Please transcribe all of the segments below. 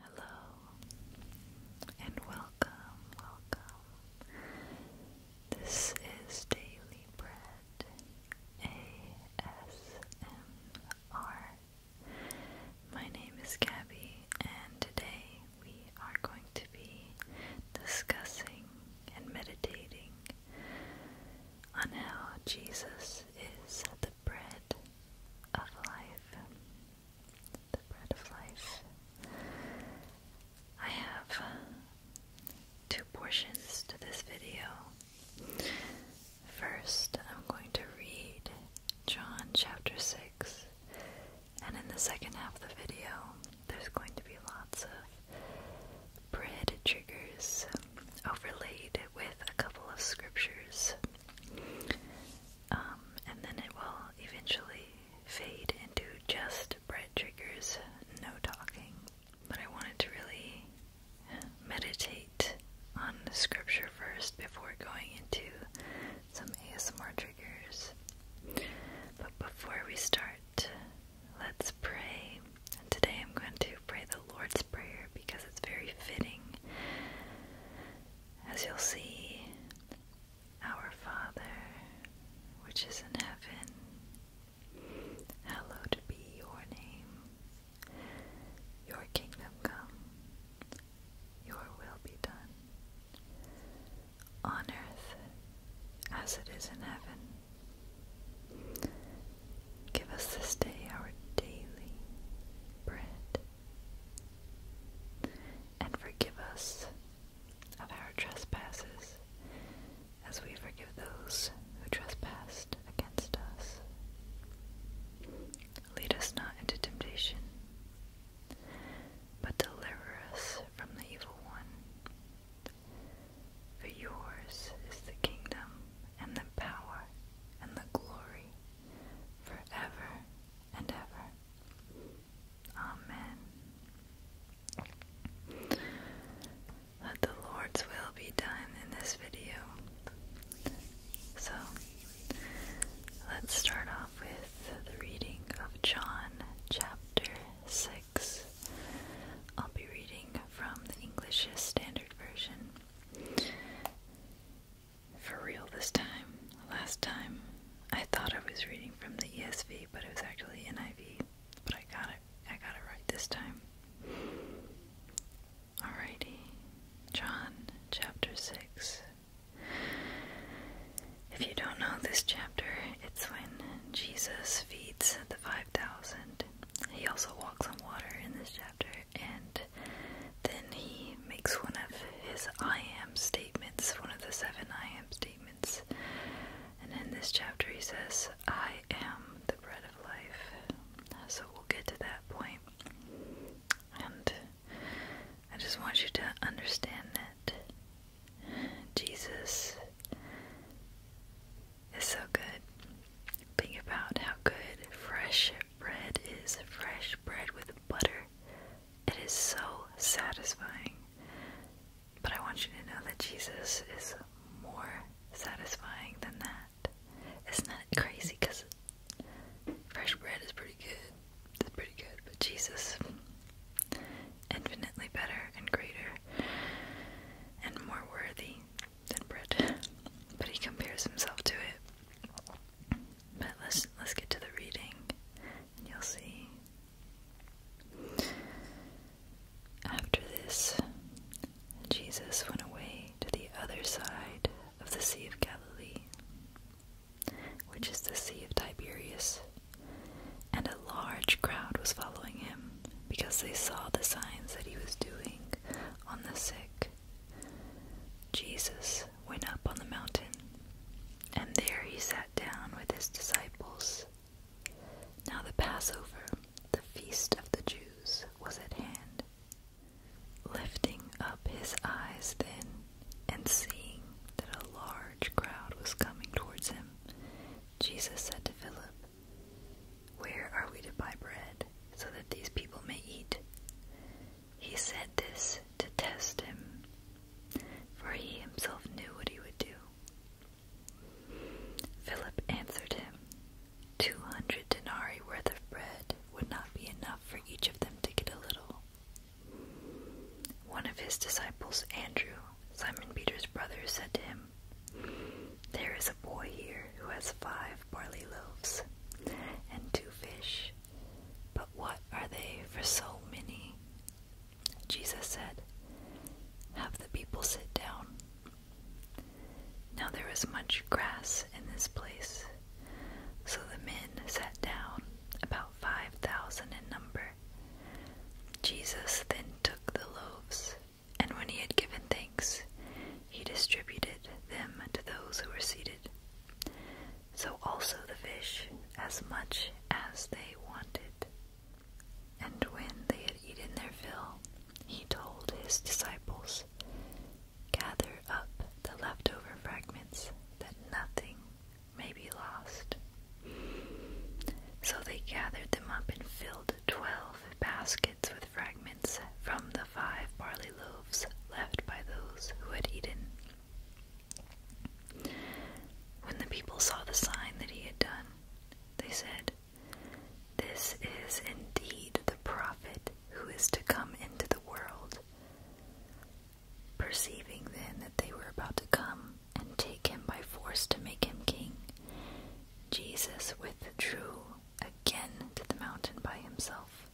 Hello and welcome, welcome. This is Daily Bread ASMR. My name is Gabby, and today we are going to be discussing and meditating on how Jesus is the bread of life the bread of life. I have uh, two portions to this video. First, I'm going to read John chapter 6, and in the second half of the video, there's going to be lots of bread triggers overlaid with a couple of scriptures. Um, and then it will eventually fade into just bread triggers, no talking. But I wanted to really meditate on scripture first before going into some ASMR triggers. But before we start, let's pray. And today I'm going to pray the Lord's Prayer because it's very fitting as you'll see, our Father, which is in heaven, hallowed be your name. Your kingdom come, your will be done, on earth as it is in heaven. Give us this day our daily bread and forgive us of our trespasses, as we forgive those who trespass against us. Lead us not into temptation, but deliver us from the evil one. For yours is the kingdom, and the power, and the glory, forever and ever. Amen. Let the Lord's will be done in this video. So, let's start off with the reading of John chapter 6. I'll be reading from the English Standard Version. For real this time. Last time, I thought I was reading from the ESV, but it was actually NIV. But I got it. I got it right this time. Alrighty. John chapter 6. If you don't know this chapter, it's when Jesus feeds the 5,000. He also walks on water in this chapter, and then he makes one of his I am statements, one of the seven I am statements. And in this chapter, he says, I am the bread of life. So we'll get to that point. And I just want you to understand that Jesus is so good. Think about how good fresh bread is fresh bread with butter, it is so satisfying. But I want you to know that Jesus is more satisfying than that. Isn't that crazy? Because fresh bread is pretty good. It's pretty good. But Jesus, infinitely better and greater and more worthy than bread. But he compares himself to it. But let's let's get to the reading and you'll see. After this, Jesus went away to the other side of the Sea of Galilee, which is the Sea of Tiberius, and a large crowd was following him because they saw the signs that he was doing on the sick. Jesus went up on the mountain, and there he sat down with his disciples. Now the Passover, the feast of the Jews, was at hand. Lifting up his eyes then, and seeing that a large crowd was coming towards him, Jesus said to Philip, Where are we to buy bread so that these people may eat? He said this to test him, for he himself knew what he would do. Philip answered him, Two hundred denarii worth of bread would not be enough for each of them to get a little. One of his disciples, Andrew, Simon Peter's brother, said to him, There is a boy here who has five barley loaves and two fish, but what are they for so many? Jesus said, Have the people sit down. Now there was much grass in this place, so the men sat down, about five thousand in number. Jesus then took the loaves, and when he had given thanks, he distributed them to those who were seated so also the fish as much as they wanted. And when they had eaten their fill, he told his disciples, Gather up the leftover fragments that nothing may be lost. So they gathered them up and filled twelve baskets with fragments from the five barley loaves left by those who had eaten. When the people saw the sign that he had done, they said, This is indeed the prophet who is to come into the world. Perceiving then that they were about to come and take him by force to make him king, Jesus withdrew again to the mountain by himself.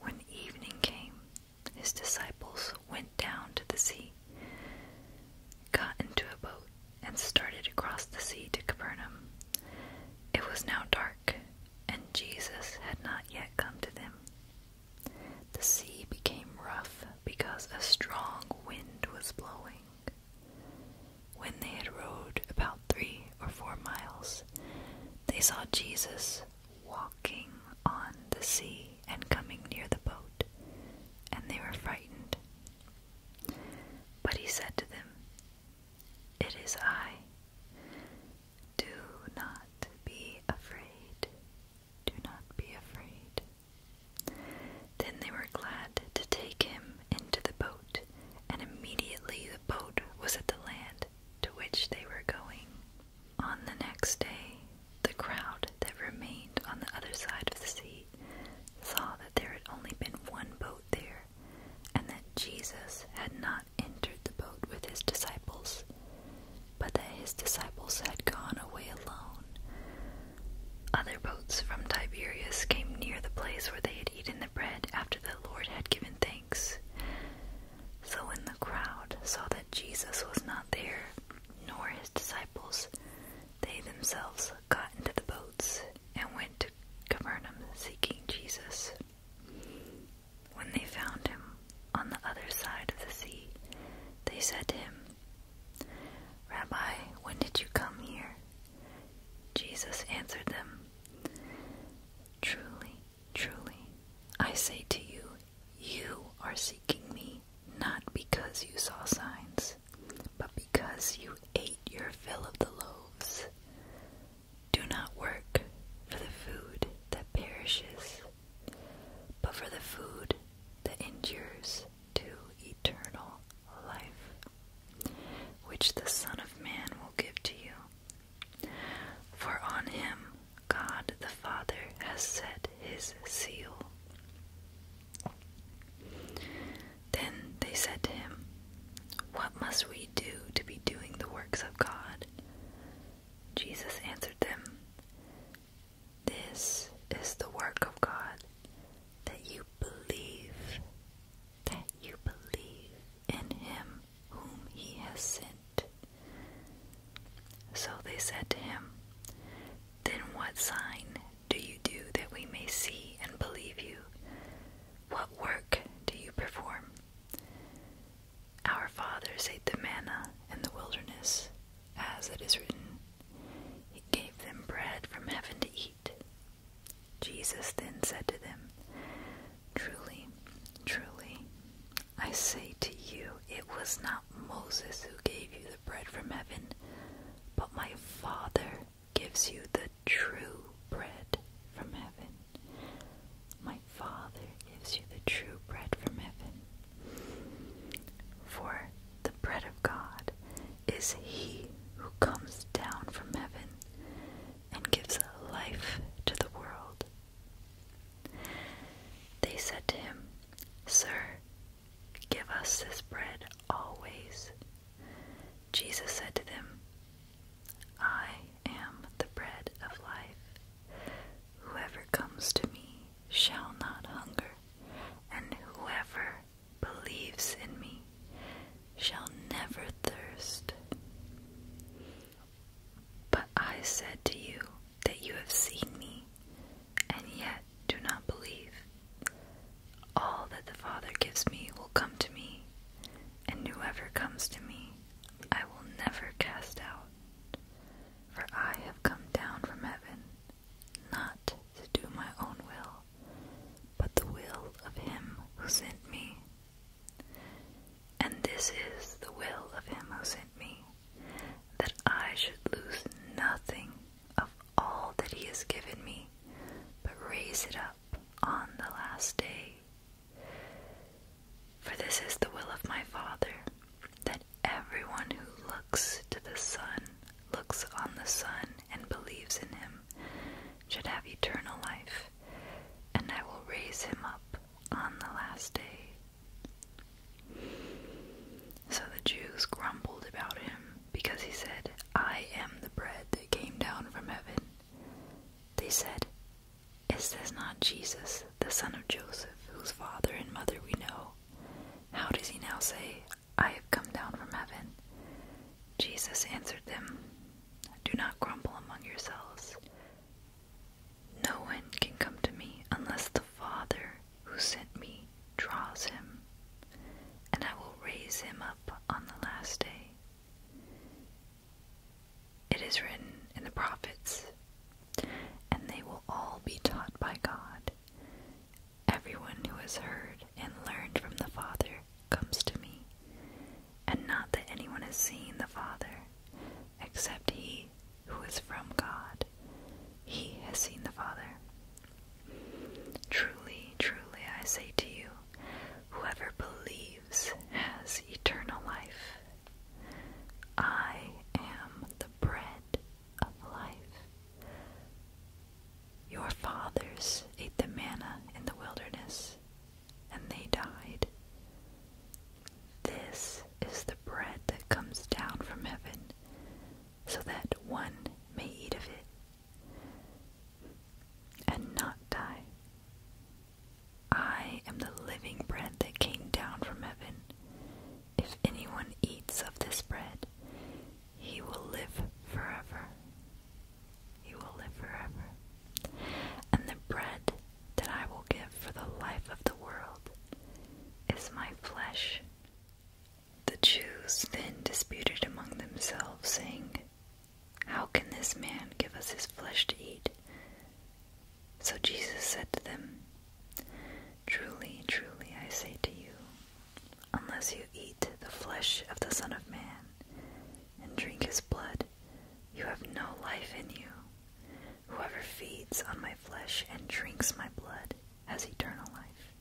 When evening came, his disciples went down to the sea, got into a boat, and started across the sea to Capernaum. It was now dark, and Jesus had not yet come to them. The sea became rough because a strong wind was blowing. When they had rowed about three or four miles, they saw Jesus walking on the sea and coming near the boat, and they were frightened. But he said to them, It is I. Do not be afraid. Do not be afraid. Then they were glad to take him into the boat, and immediately the boat was at the land to which they were going. On the next day, the crowd that remained on the other side of the sea saw that there had only been one boat there, and that Jesus had not entered the boat with his disciples, but that his disciples had gone away alone. Other boats from Tiberias came near the place where they had eaten the bread after the Lord had given thanks, so when the crowd saw that Jesus was not there, nor his disciples, they themselves got into the boats and went to Capernaum seeking Jesus. When they found him on the other side of the sea, they said to him, Rabbi, when did you come here? Jesus answered them, Truly, Truly, I say to you, you are seeking me not because you saw signs, but because you ate your fill of the loaves. Do not work for the food that perishes, but for the food that endures to eternal life, which the Son of Man will give to you, for on him God the Father has set his seal. Then they said to him, What must we do to be doing the works of God? Jesus answered them, This is the work of God, that you believe, that you believe in him whom he has sent. So they said to him, Then what sign do you do that we may see and believe you? What work do you perform? Our fathers ate the manna in the wilderness, as it is written. He gave them bread from heaven to eat. Jesus then said to them, Truly, truly, I say to you, it was not Moses who gave you the bread from heaven, but my Father gives you the true bread from heaven. My Father gives you the true bread from heaven. For the bread of God is he who comes down from heaven and gives life to the world. They said to him, Sir, give us this bread always. Jesus said to them, I am the bread of life. Whoever comes to me shall not hunger, and whoever believes in me shall never thirst. But I said to you that you have seen me, and yet do not believe. All that the Father gives me will come to me, and whoever comes to me I will never cast out. For I have come down from heaven, not to do my own will, but the will of him who sent me. And this is the will of him who sent me, that I should lose nothing of all that He has given me, but raise it up on the last day. For this is the will of my Father, that everyone who looks to the Son, looks on the Son, and believes in Him, should have eternal life, and I will raise him up on the last day. So the Jews grumbled about him because he said, I am the bread that came down from heaven. They said, Is this not Jesus, the son of Joseph, whose father and mother we know? How does he now say, I have come down from heaven? Jesus answered them, Do not grumble among yourselves. No one can come to me unless the Father who sent me draws him, and I will raise him up on the last day. It is written in the prophets, and they will all be taught by God. Everyone who has heard and learned from the Father comes to me, and not that anyone has seen the Father, except he who is from God. He has seen the Father. Truly, truly, I say to you, whoever believes has eternal life. I am the bread of life. Your fathers ate the manna in the wilderness, and they died. This is the bread that comes down from heaven, so that one may eat of it and not die. I am the living bread that came down from heaven. If anyone eats of this bread, he will live forever. He will live forever. And the bread that I will give for the life of the world is my flesh. The Jews then disputed among themselves, saying, How can this man give us his flesh to eat? So Jesus said to them, Truly, truly, I say to you, unless you eat the flesh of the Son of Man and drink his blood, you have no life in you. Whoever feeds on my flesh and drinks my blood has eternal life,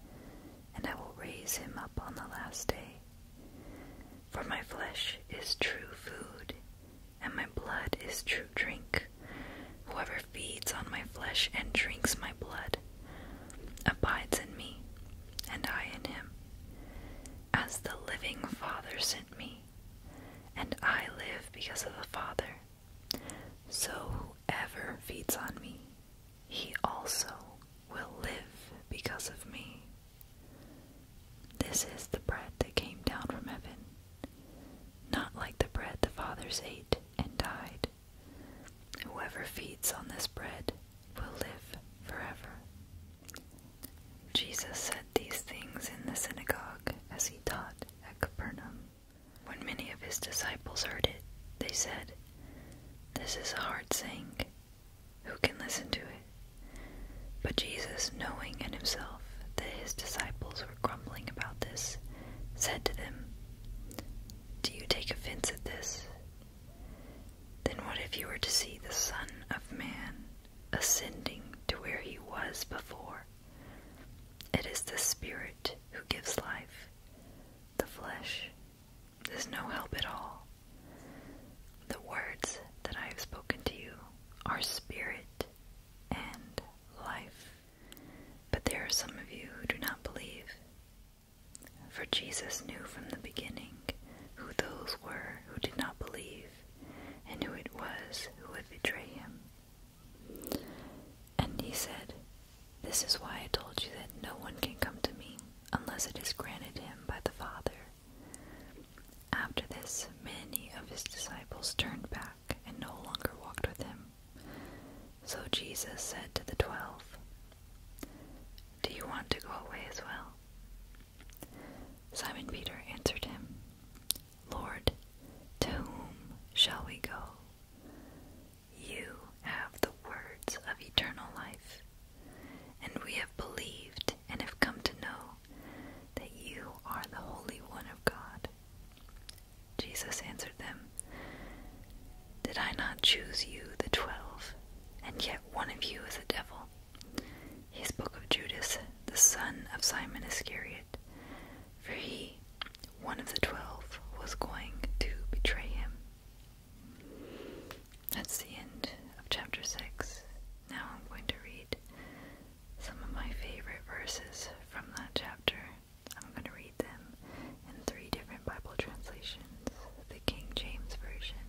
and I will raise him up on the last day. For my flesh is true food, and my blood is true drink. Whoever feeds on my flesh and drinks my blood abides in me, and I in him. As the living Father sent me, and I live because of the Father, so whoever feeds on me, he also will live because of me. This is the bread that came down from heaven, not like the bread the fathers ate and died. Whoever feeds on this bread will live forever. Jesus said these things in the synagogue as he taught at Capernaum. When many of his disciples heard it, they said, This is a hard saying. Who can listen to it? But Jesus, knowing in himself that his disciples were grumbling about this, said to them, Do you take offense at this? Then what if you were to see the Son of Man ascending to where he was before? It is the Spirit who gives life. The flesh is no help at all. The words that I have spoken to you are spirit and life. But there are some of you who do not believe. For Jesus knew from the beginning who those were who did not believe and who it was who would betray him. And he said, This is why I told you that no one can come to me unless it is granted him by the Father. After this, many of his disciples turned back and no longer walked with him. So Jesus said to the twelve, Do you want to go away as well? Simon Peter answered him, Lord, to whom shall we go? You have the words of eternal life, and we have believed and have come to know that you are the Holy One of God. Jesus answered them, Did I not choose you, the twelve, and yet one of you is a devil? He spoke of Judas, the son of Simon Iscariot for he, one of the twelve, was going to betray him. That's the end of chapter 6. Now I'm going to read some of my favorite verses from that chapter. I'm going to read them in three different Bible translations the King James Version,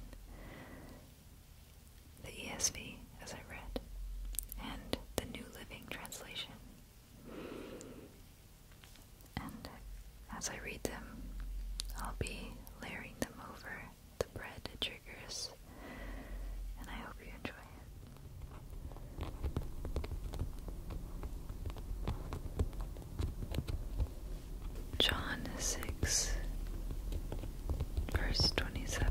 the ESV, as I read, and the New Living Translation. And as I read them, I'll be layering them over the bread it triggers, and I hope you enjoy it. John 6, verse 27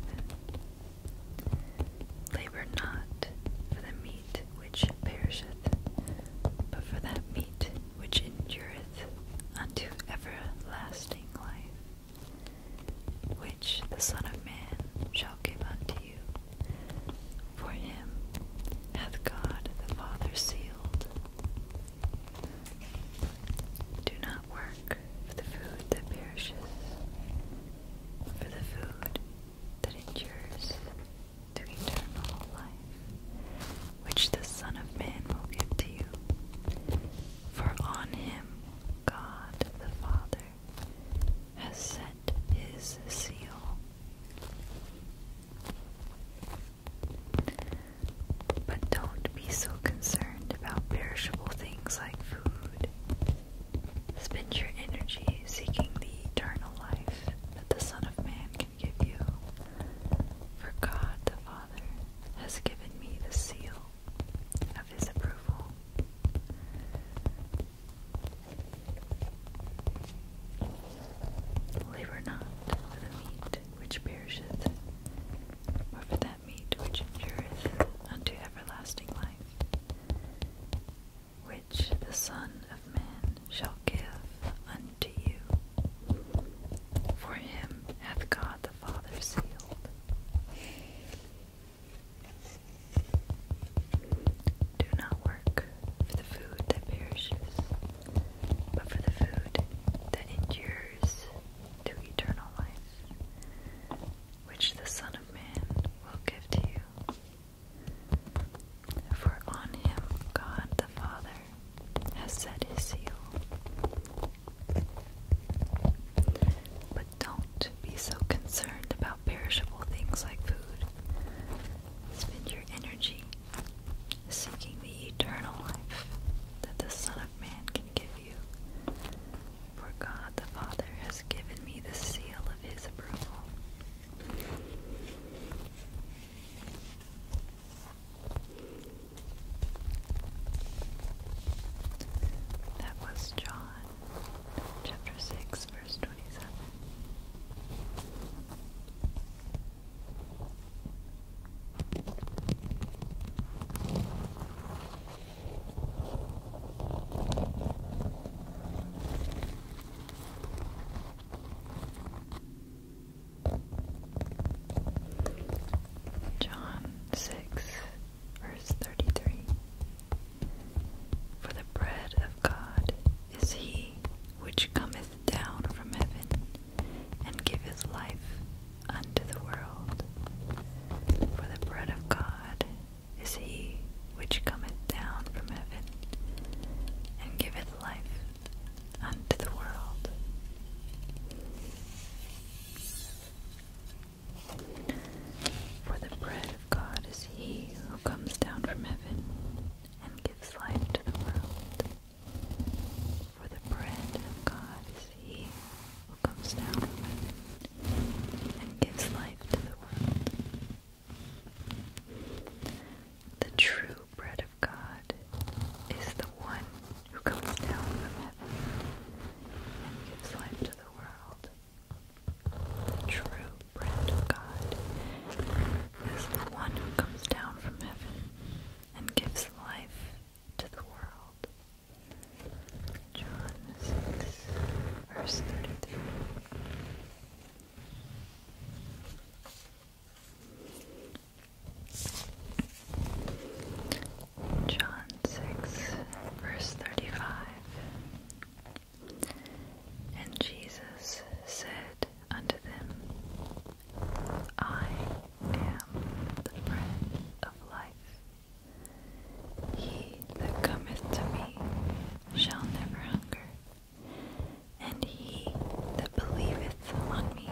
Labor not for the meat which perisheth, but for that meat which endureth unto everlasting life, which the Son of Man shall give unto you. For him hath God the Father sealed. Do not work for the food that perisheth, for the food that endures to eternal life, which the Son of Man will give to you. For on him God the Father has sent his seal. But don't be so concerned about perishable things like food Spend your energy seeking the eternal life that the Son of Man can give you. For God the Father has given me the seal of his approval. Labor not for the meat which perisheth, or for that meat which endureth unto everlasting life, which the Son of Man shall give unto you. For him hath God the Father sealed. Do not work for the food that perishes, but for the food that endures to eternal life, which the Son of Man will give to you. For on him God the Father has set his seal. But don't be so concerned about perishable things like food. Spend your energy seeking the eternal life that the Son of Man can give you. For God the Father has given me the seal of his approval. That was John chapter 6, verse 27. John 6, verse 33 For the bread of God is he which cometh down from heaven and giveth life unto the world. For the bread of God is he which cometh down from heaven, and giveth life unto the world. For the bread of God is he who comes down from heaven and gives life to the world. For the bread of God is he who comes down from heaven and gives life to the world. The true bread of God is the one who comes down from heaven and gives life to the world. The true bread of God is the one who comes down from heaven and gives life to the world. John verse 33. John 6, verse 35. And Jesus said unto them, I am the bread of life. He that cometh to me shall never hunger, and he that believeth on me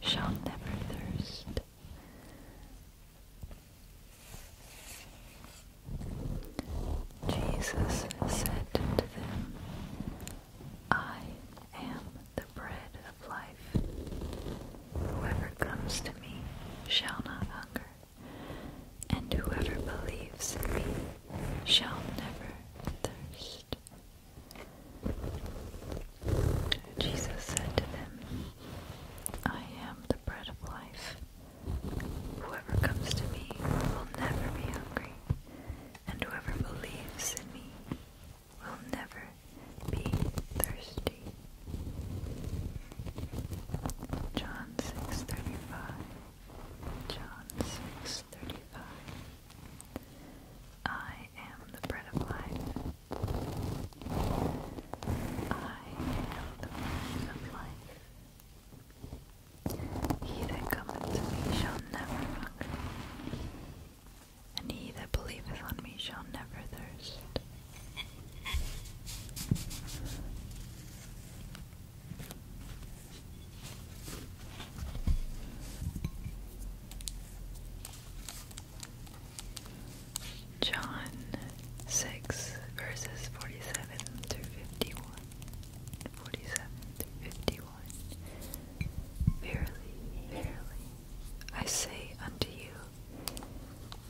shall never thirst. Jesus said to them, I am the bread of life. Whoever comes to me shall not hunger, and whoever believes in me shall never thirst. Jesus said to them, I am the bread of life. Whoever comes to me will never be hungry, and whoever believes in me will never be thirsty. John 6:35. John 6:35. 35 I am the bread of life. I am the bread of life. He that cometh to me shall never hunger, and he that believeth on me shall never thirst. John 6 verses 47 through 51. 47 51. Verily, verily, I say unto you,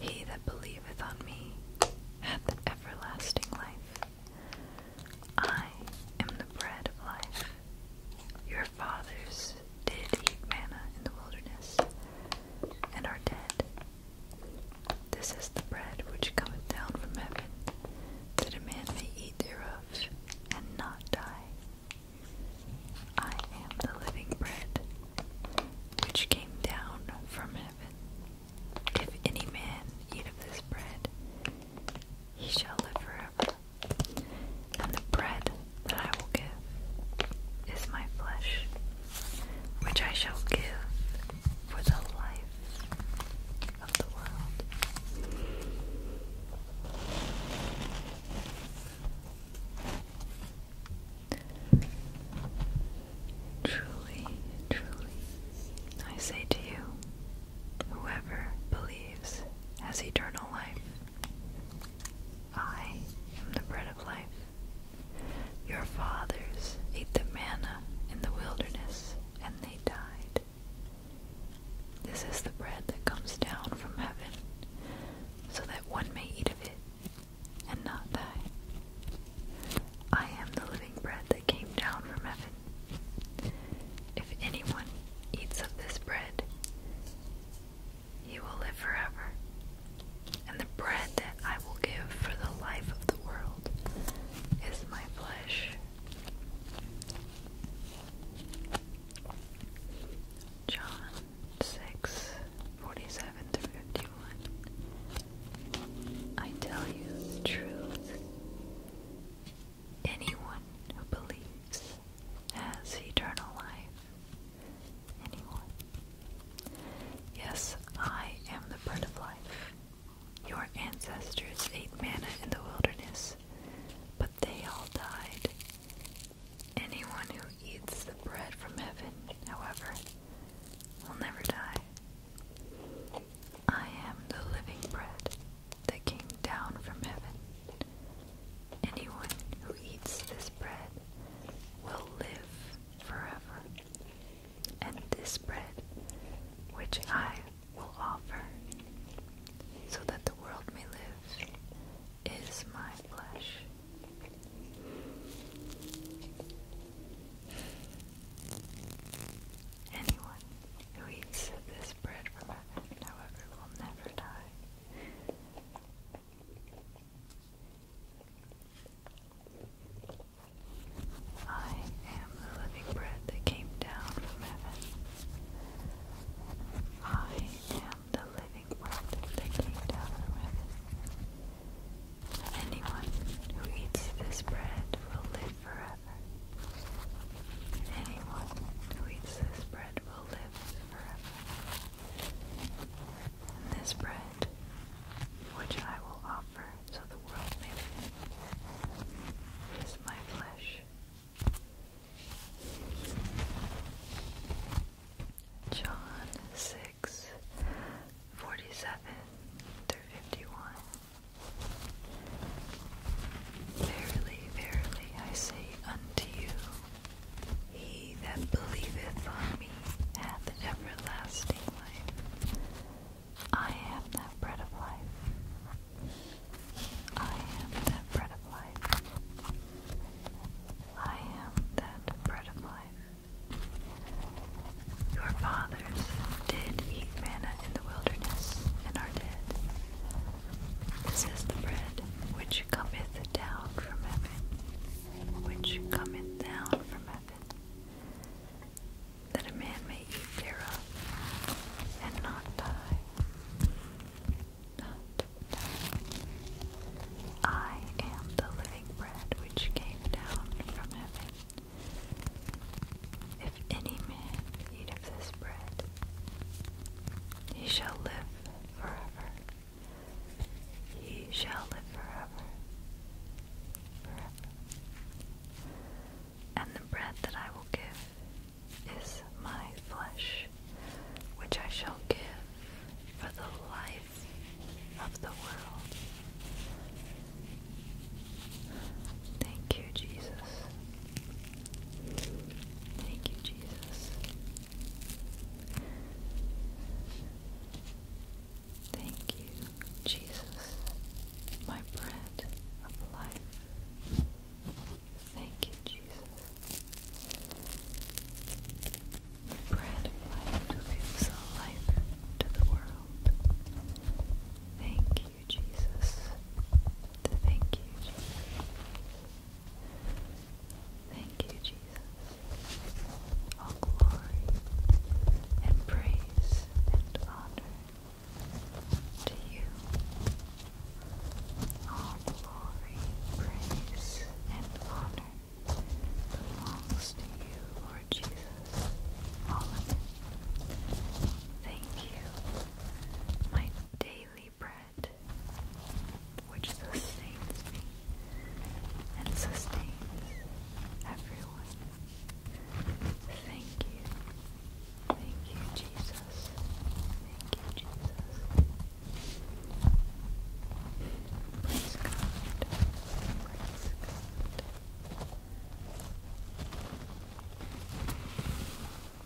he that believeth on me hath everlasting life, I am the bread of life. Your fathers did eat manna in the wilderness and are dead. This is the bread which cometh down from heaven, that a man may eat thereof and not die. I am the living bread which came down from heaven. If any man eat of this bread, he shall live forever. And the bread that I will give is my flesh, which I shall give for the life of the world. Truly, truly, I say to you, Whoever believes has eternal life. I am the bread of life. Your fathers ate the manna in the wilderness, and they died. This is the bread that comes down from heaven, so that one may eat of it and not die. I am the living bread that came down from heaven. If anyone eats of this bread, he will live forever. And the bread that I will give for the life of the world is my flesh. John 6 47 51. I tell you the truth. Anyone who believes has eternal life. Anyone. Yes, I am the bread of life. Your ancestors ate manna in the wilderness, but they all died. Anyone who eats the bread from heaven, however, will never die. I am the living bread that came down from heaven. Anyone who eats this bread will live forever. And this bread which I will offer so that the world may live is my flesh. Anyone who eats this is from heaven, however, will never die. I am the living bread that came down from heaven. I am the living bread that came down from heaven. Anyone who eats this bread will live forever anyone who eats this bread will live forever. And this bread, which I will offer so the world may live, is my flesh. John 6 47 through 51 Verily, verily, I say unto you, he that believeth on me hath everlasting life. I am that bread of life. I am that bread of life. I am that bread of life. Your fathers did eat manna in the wilderness and are dead. This is the bread which cometh down from heaven, which cometh down from heaven, that a man may eat thereof and not die. Not I am the living bread which came down from heaven. If any man eat of this bread, he shall live forever. He shall live forever. And the bread that I will give is my flesh, which I shall give for the life of the world. Thank you, Jesus. Thank you, Jesus. Thank you, Jesus, my bread of life. Thank you, Jesus. The bread of life gives life to the world. Thank you, you, Jesus. Thank you, Jesus. Thank you, Jesus. All glory and praise and honor to you. All glory, praise, and honor belongs to you, Lord Jesus. All of it. Thank you, my daily bread which sustains me and sustains everyone. Thank you. Thank you, Jesus. Thank you, Jesus. Praise God. Praise God.